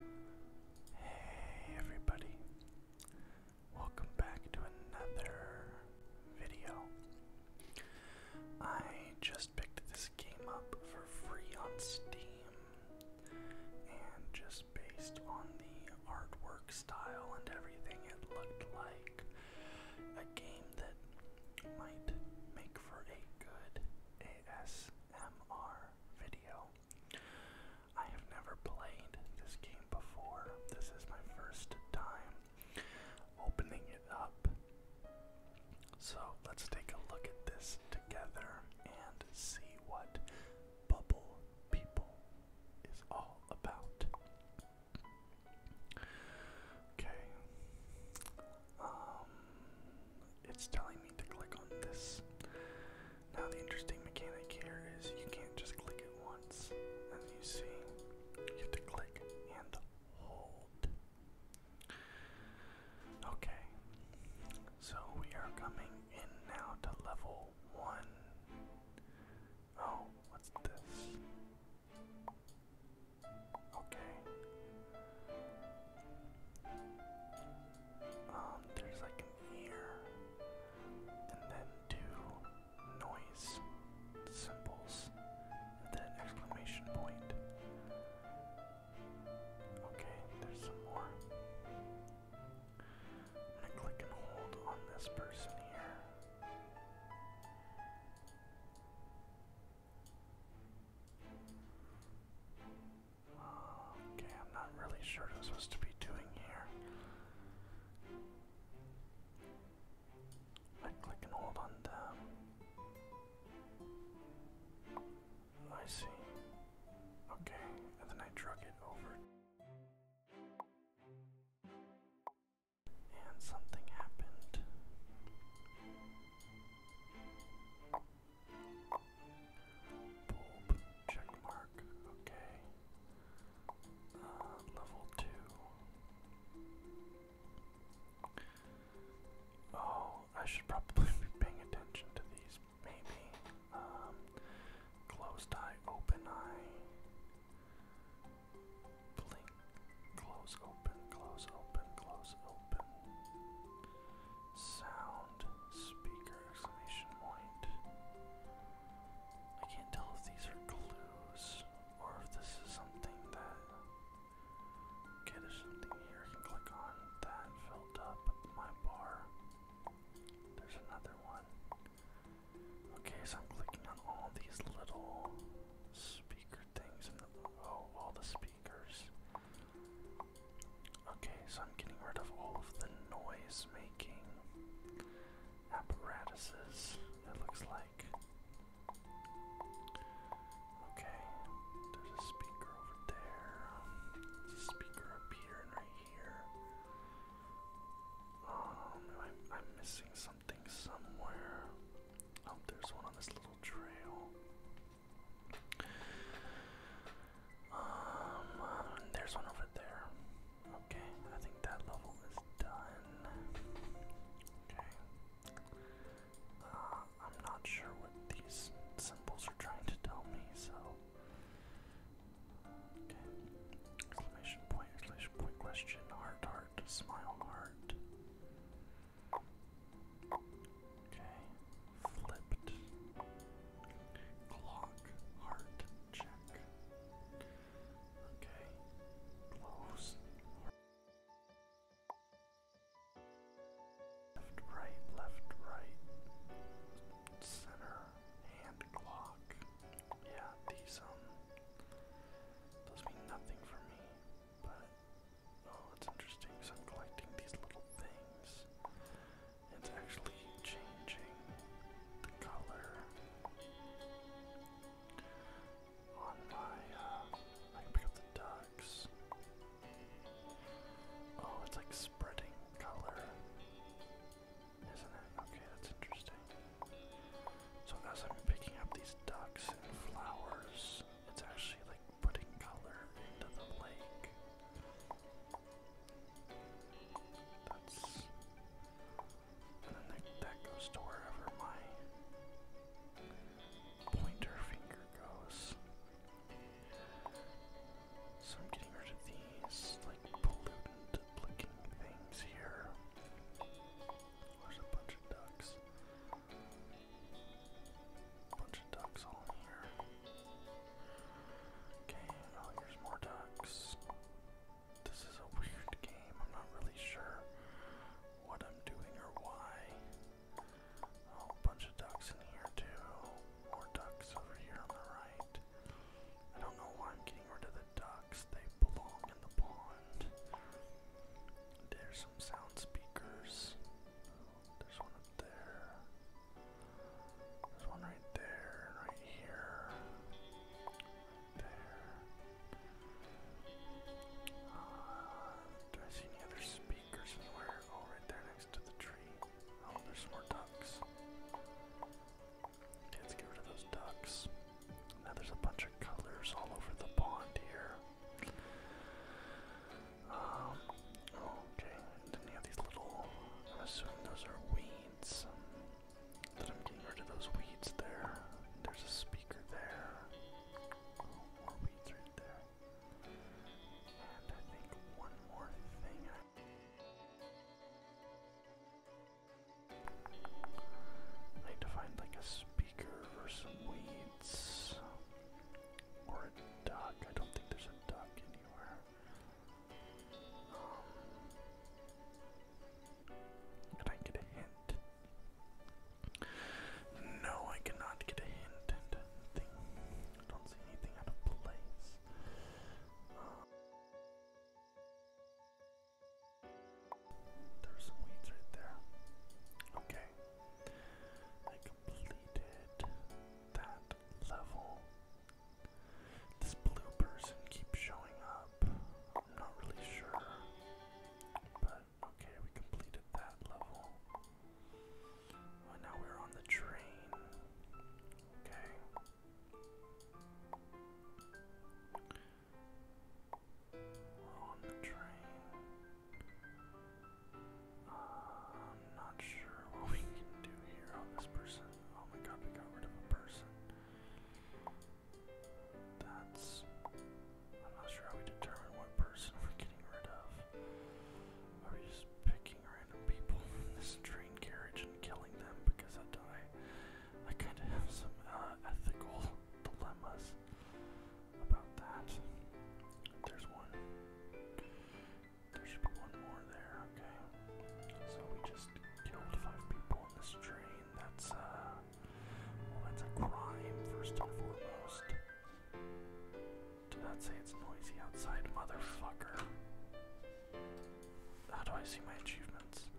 Hey everybody, welcome back to another video. I just picked this game up for free on Steam, and just based on the artwork style and everything, it looked like a game that might make for a good ASMR video. I have never played this game before. This is my first time opening it up. So let's take a look at this together and see what Bubble People is all about. Okay. Um, it's telling me to click on this. Now the interesting mechanic here is you can't just click it once. And you see, you have to click and hold. Okay, so we are coming in now to level one. Oh, what's this? Okay. Um, there's like an ear, and then two noise symbols, and then an exclamation point. Okay, there's some more. I'm gonna click and hold on this person here. Okay, I'm not really sure what I'm supposed to be doing here. I click and hold on them. I see. Okay, and then I drug it over. And something happened. Bulb, check okay. Uh, uh, level 2. Oh, I should probably be paying attention to these, maybe. Um, closed eye, open eye. Blink, close, open, close, open, close, open sound speaker exclamation point. I can't tell if these are clues or if this is something that. Okay, there's something here I can click on that filled up my bar. There's another one. Okay, so I'm clicking on all these little speaker things and the, oh, all the speakers. Okay, so I'm getting rid of all of the noise making apparatuses, it looks like. Okay, there's a speaker over there. There's speaker up here right here. Um, I'm, I'm missing something somewhere. Oh, there's one on this little trail. Um, there's one over there. Okay, I think that level is done. Okay. Uh, I'm not sure what these symbols are trying to tell me, so. Okay. Exclamation point, exclamation point, question, heart, heart, smile, heart. Okay. Flipped. Clock. Heart. Check. Okay. Close. Left, right, left, right. Center. Hand clock. Yeah, these um those mean nothing for me, but oh it's interesting, so I'm collecting these little things. It's actually changing the color on my, uh, I pick up the ducks. Oh, it's like spreading color, isn't it? Okay, that's interesting. So as I'm picking up these ducks and flowers, it's actually like putting color into the lake. That's and then that, goes to wherever my pointer finger goes. So I'm getting rid of these like pollutant looking things here. There's a bunch of ducks. Bunch of ducks on here. Okay, oh, more ducks. This is a weird game. I'm not really sure what I'm doing or why. Oh, a bunch of ducks in here too. More ducks over here on the right. I don't know why I'm getting rid of the ducks. They belong in the pond. There's some sound speakers. There's one up there. There's one right there, right here. there. Uh, do I see any other speakers anywhere? Oh, right there next to the tree. Oh, there's more ducks. let's get rid of those ducks. Now there's a bunch of colors all over the pond here okay, then you have these little, I'm assuming those are weeds. That I'm rid of those weeds there. There's a speaker there. More weeds right there. And I think one more thing I need to find like a speaker or some weeds. Or a duck. I don't think there's a duck anywhere. I get a hint? No, I cannot get a hint and anything. I don't see anything out of place. there's some weeds right there. Okay. I completed that level. This blue person keeps showing up. I'm not really sure. But okay, we completed that level. And now we're on the train. Okay. We're on the train. I'm not sure what we can do here this person. Oh my god, we got rid of a person. That's. I'm not sure how we determine what person we're getting rid of. Are we just picking random people from this train carriage and killing them? Because I do I, kind of have some uh, ethical dilemmas about that. There's one there should be one more there, okay. So we just killed five people in this train. Uh, that's a crime first and foremost. Did not say it's noisy outside, motherfucker. How do I see my achievements?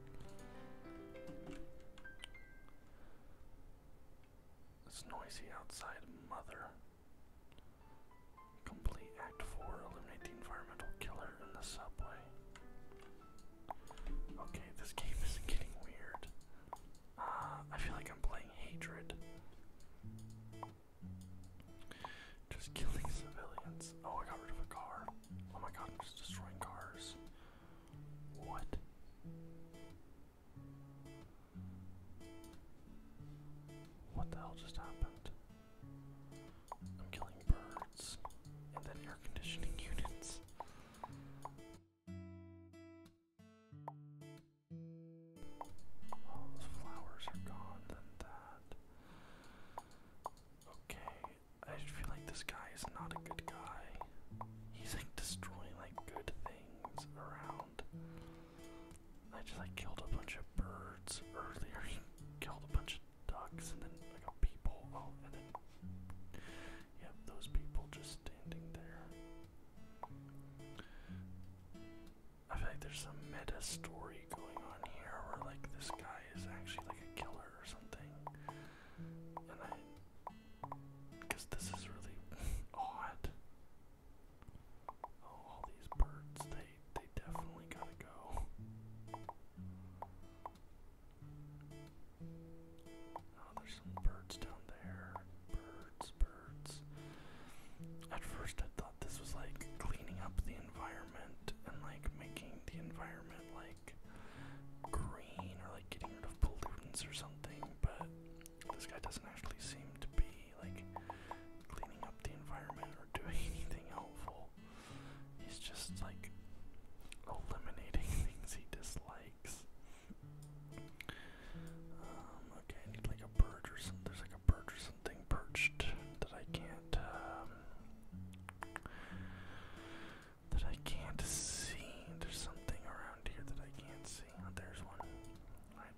It's noisy outside, mother. Complete Act 4, eliminate the environmental killer in the subway. Okay, this game is getting weird. Uh, I feel like I'm playing Hatred. Just killing civilians. Oh, I got rid of a car. Oh my god, I'm just destroying cars. What? What the hell just happened? I'm killing birds and then air conditioning units. All those flowers are gone, then that. Okay, I feel like this guy is not a good guy. He's like destroying like good things around. I just like killed a bunch of birds earlier, killed a bunch of ducks, and then like got people. Oh, and then yep, those people just standing there. I feel like there's some meta story going on here, where like this guy is actually like a killer or something, and I, because this is really odd. Oh, all these birds, they they definitely gotta go. Oh, there's some birds down there. Birds, birds. At first I thought this was like cleaning up the environment and like making the environment like green or like getting rid of pollutants or something, but this guy doesn't actually seem to be like cleaning up the environment or doing anything helpful. He's just like eliminating things he dislikes. Um, okay, need like a bird or something. There's like a bird or something perched that I can't, um, that I can't see. There's something around here that I can't see. Oh, there's one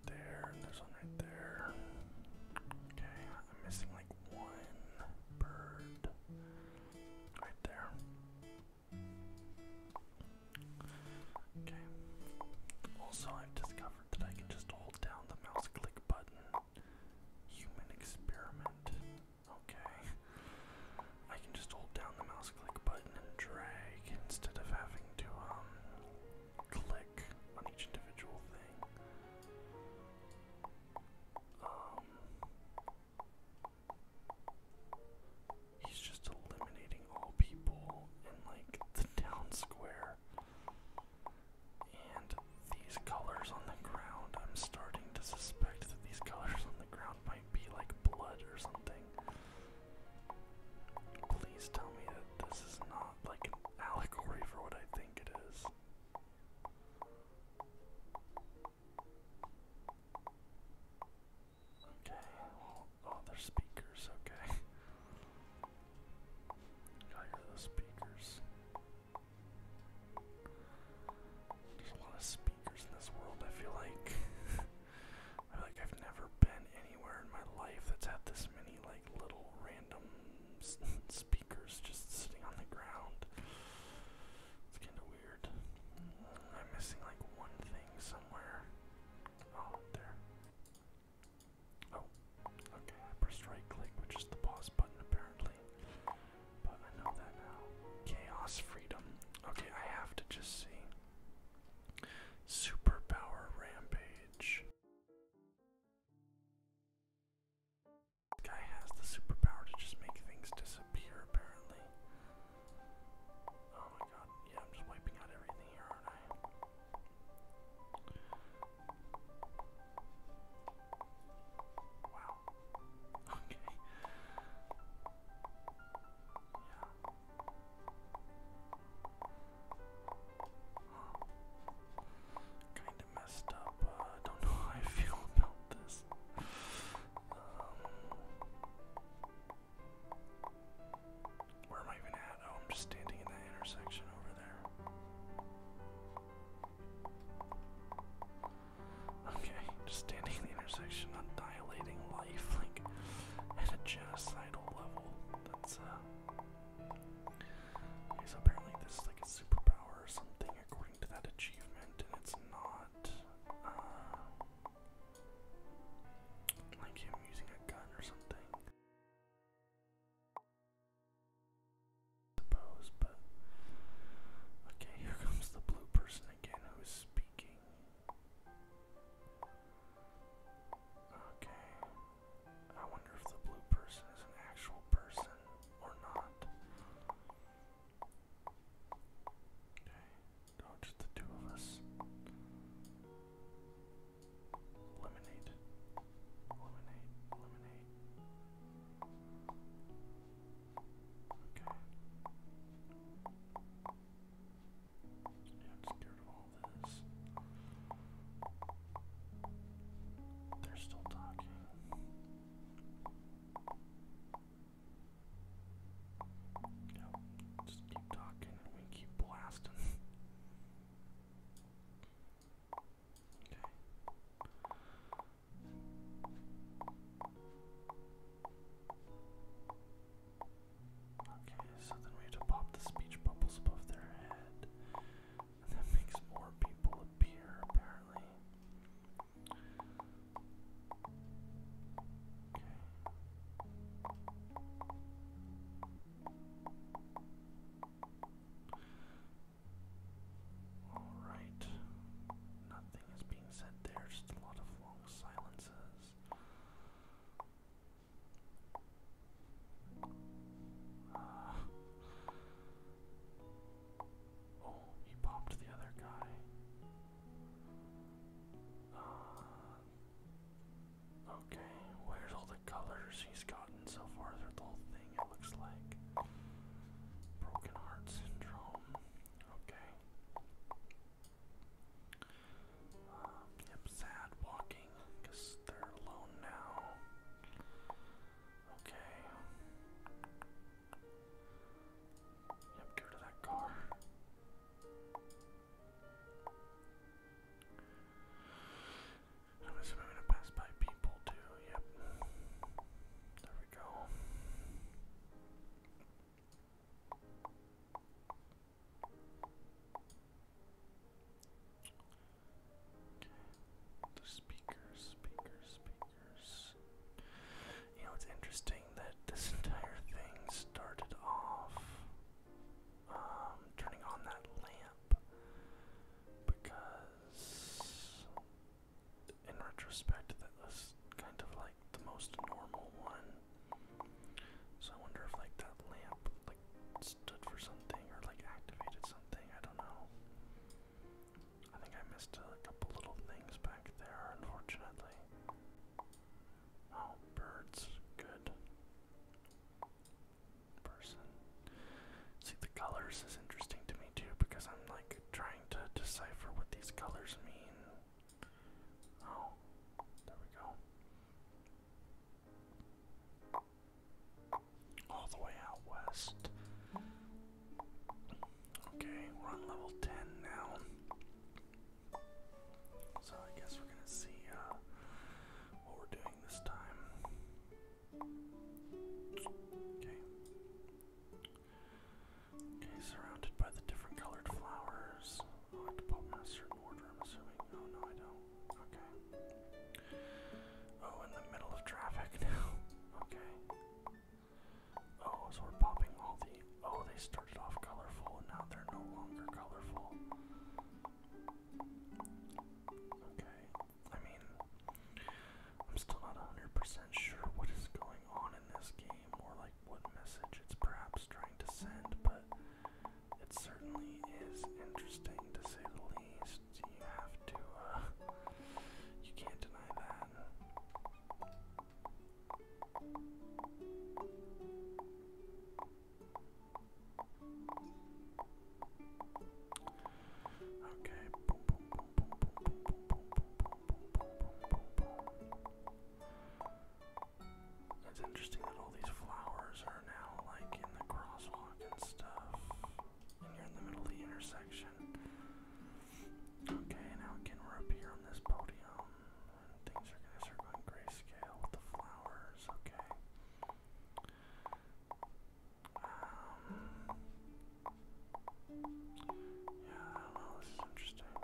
there, and one right there. Okay, I'm missing like one bird right there. Okay. Also, I've discovered that I can just hold down the mouse click button. Human experiment. Okay. I can just hold down the mouse click button and drag instead of having to, um, click on each individual thing. Um, he's just eliminating all people in like the town square. And these colors on the ground, I'm starting to suspect that these colors on the ground might be like blood or something. Please tell me that this is not like an allegory for what I think it is. Okay, oh, they're speakers, okay. I hear those speakers. There's a lot of speakers in this world, I feel like. I like I've never been anywhere in my life that's had this many like little random speakers just sitting on the ground. It's kind of weird. I'm missing like one thing somewhere. Oh, there. Oh, okay. I pressed right click, which is the pause button apparently. But I know that now. Chaos freedom. Okay, I have to just see. Superpower Rampage. This guy has the superpower to just make things disappear, apparently. Oh my god, yeah, I'm just wiping out everything here, aren't I? Wow. Okay. Yeah. Kind of messed up. Uh, don't know how I feel about this. Um, where am I even at? Oh, I'm just standing in the intersection over there. Okay, just standing in the intersection, dilating life, like, at a genocidal level. That's, uh, Okay, so apparently this is like a superpower or something according to that achievement, and it's not uh, like him using a gun or something. I suppose, but okay, here comes the blue person again who is speaking. Okay. I wonder if the blue person is an actual person or not. Okay. No, just the two of us. Eliminate. Eliminate. Eliminate. Okay. They're still talking. just keep talking and we keep blasting. okay. Okay, so then we have to pop the speech bubbles above their head. And that makes more people appear, apparently. Okay. Alright. Nothing is being said there, just a lot of long silences oh, he popped the other guy. Uh, okay, where's all the colors he's gotten so far through the whole thing? It looks like broken heart syndrome. Okay. Um, yep, sad walking because they're alone now. Okay. Yep, get rid that car. I'm assuming to pass by people too. Yep. There we go. The speakers, speakers, speakers. You know, it's interesting that this entire thing started off um, turning on that lamp because, in retrospect, that was kind of like the most normal one. So I wonder if like that lamp like stood for something or like activated something. I don't know. I think I missed a couple little things back there, unfortunately. Oh, birds, good. Person. See, the colors is interesting to me too because I'm like trying to decipher what these colors mean. Oh, there we go. All the way out west. Okay, we're on level 10 now. So I guess we're gonna see uh, what we're doing this time. Okay. Okay, surrounded by the different colored flowers order, I'm assuming. Oh, no, I don't. Okay. Oh, in the middle of traffic now. okay. Oh, so we're popping all the. Oh, they started off colorful and now they're no longer colorful. Okay. I mean, I'm still not 100% sure what is going on in this game or like what message it's perhaps trying to send, but it certainly is interesting to say the least. You have to, you can't deny that. Okay. It's interesting that all these flowers are now like in the crosswalk and stuff. And you're in the middle of the intersection. Okay, now again we're on this podium. things are gonna start going grayscale with the flowers, okay. Um, yeah, I do interesting.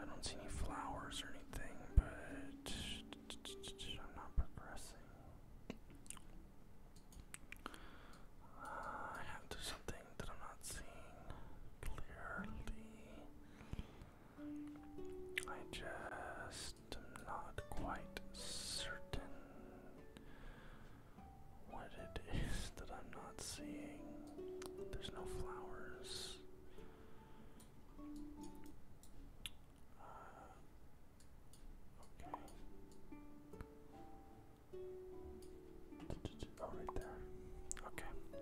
I don't see any flowers or anything, but I'm not progressing. I have to something that I'm not seeing clearly. I just not quite certain what it is that I'm not seeing. There's no flowers. Uh, okay. Oh, there. Okay.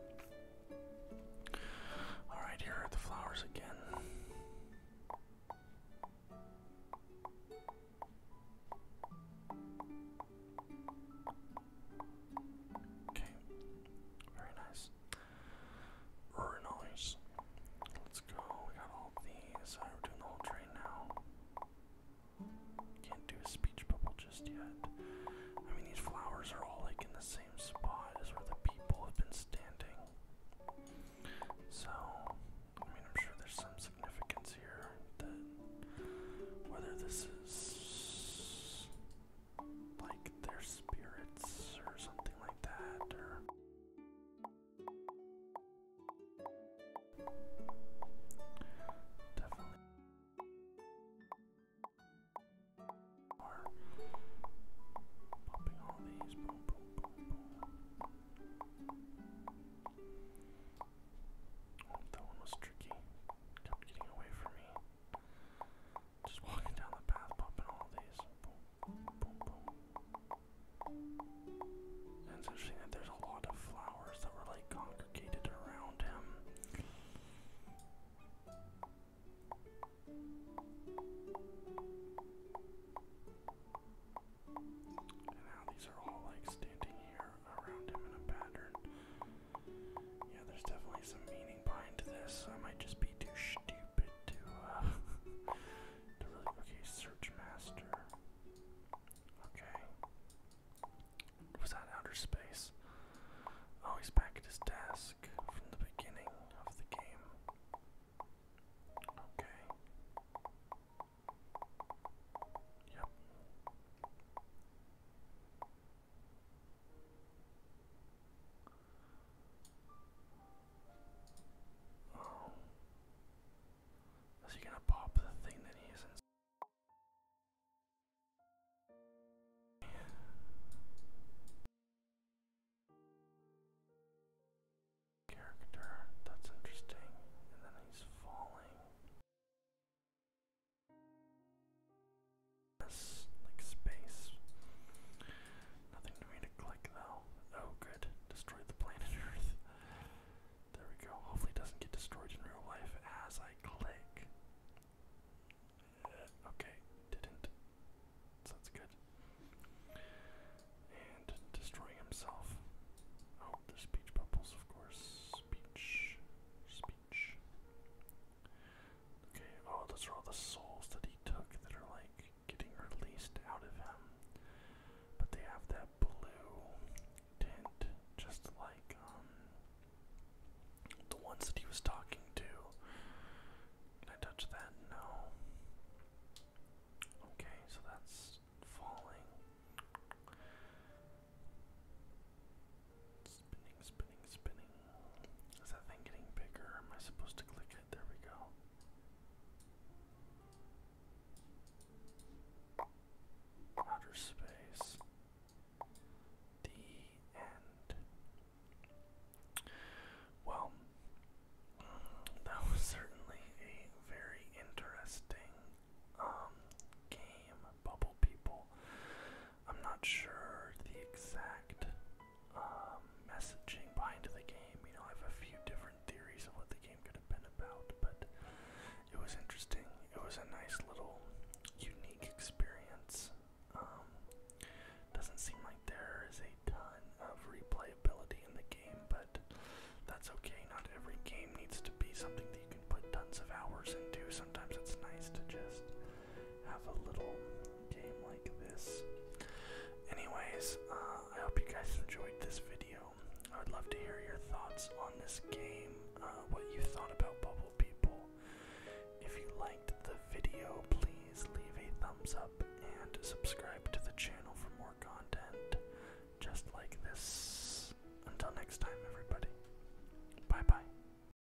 All right, here are the flowers again. Okay. Very nice. Very nice. Let's go. We got all these. we're doing the whole train now. Can't do a speech bubble just yet. I mean, these flowers are all like in the same spot as where the people have been standing. So, I mean, I'm sure there's some significance here that whether this is like their spirits or something like that, or definitely are popping all these Oh, that one was tricky. getting away from me. Just walking down the path, popping all these. And it's interesting that there's a lot of flowers that were like congregated around him. And now these are all like standing here around him in a pattern. Yeah, there's definitely some meaning behind this. I might just be too stupid to, uh, to really. Okay, Search Master. Okay. Was that outer space? Oh, he's back at his desk from the beginning of the game. Okay. Yep. Oh. Is he gonna pop the thing that he is Yeah. Character, that's interesting. And then he's falling like space. Nothing for me to click though. Oh good. Destroy the planet Earth. There we go. Hopefully doesn't get destroyed in real life as I click. Uh, okay, didn't. So good. And destroying himself. Oh, there's speech bubbles, of course. Speech. Speech. Okay, oh, those are all the souls that he took that are like getting released out of him. But they have that blue tint, just like um the ones that he was talking to. Can I touch that? No. Okay, so that's falling. Spinning, spinning, spinning. Is that thing getting bigger? am I supposed to click it? There we go. Outer space. The end. Well, mm, that was certainly a very interesting um, game, Bubble People. I'm not sure the exact um, messaging behind the game. You know, I have a few different theories of what the game could have been about, but it was interesting. It was a nice little unique experience. Um, doesn't seem like there is a ton of replayability in the game, but that's okay. Not every game needs to be something that you can put tons of hours into. Sometimes it's nice to just have a little game like this. Anyways, uh, I hope you guys enjoyed this video. I would love to hear your thoughts on this game, uh, what you thought about Bubble People. If you liked the video, please leave a thumbs up and subscribe to the channel for more content just like this. Until next time, everybody. Bye bye.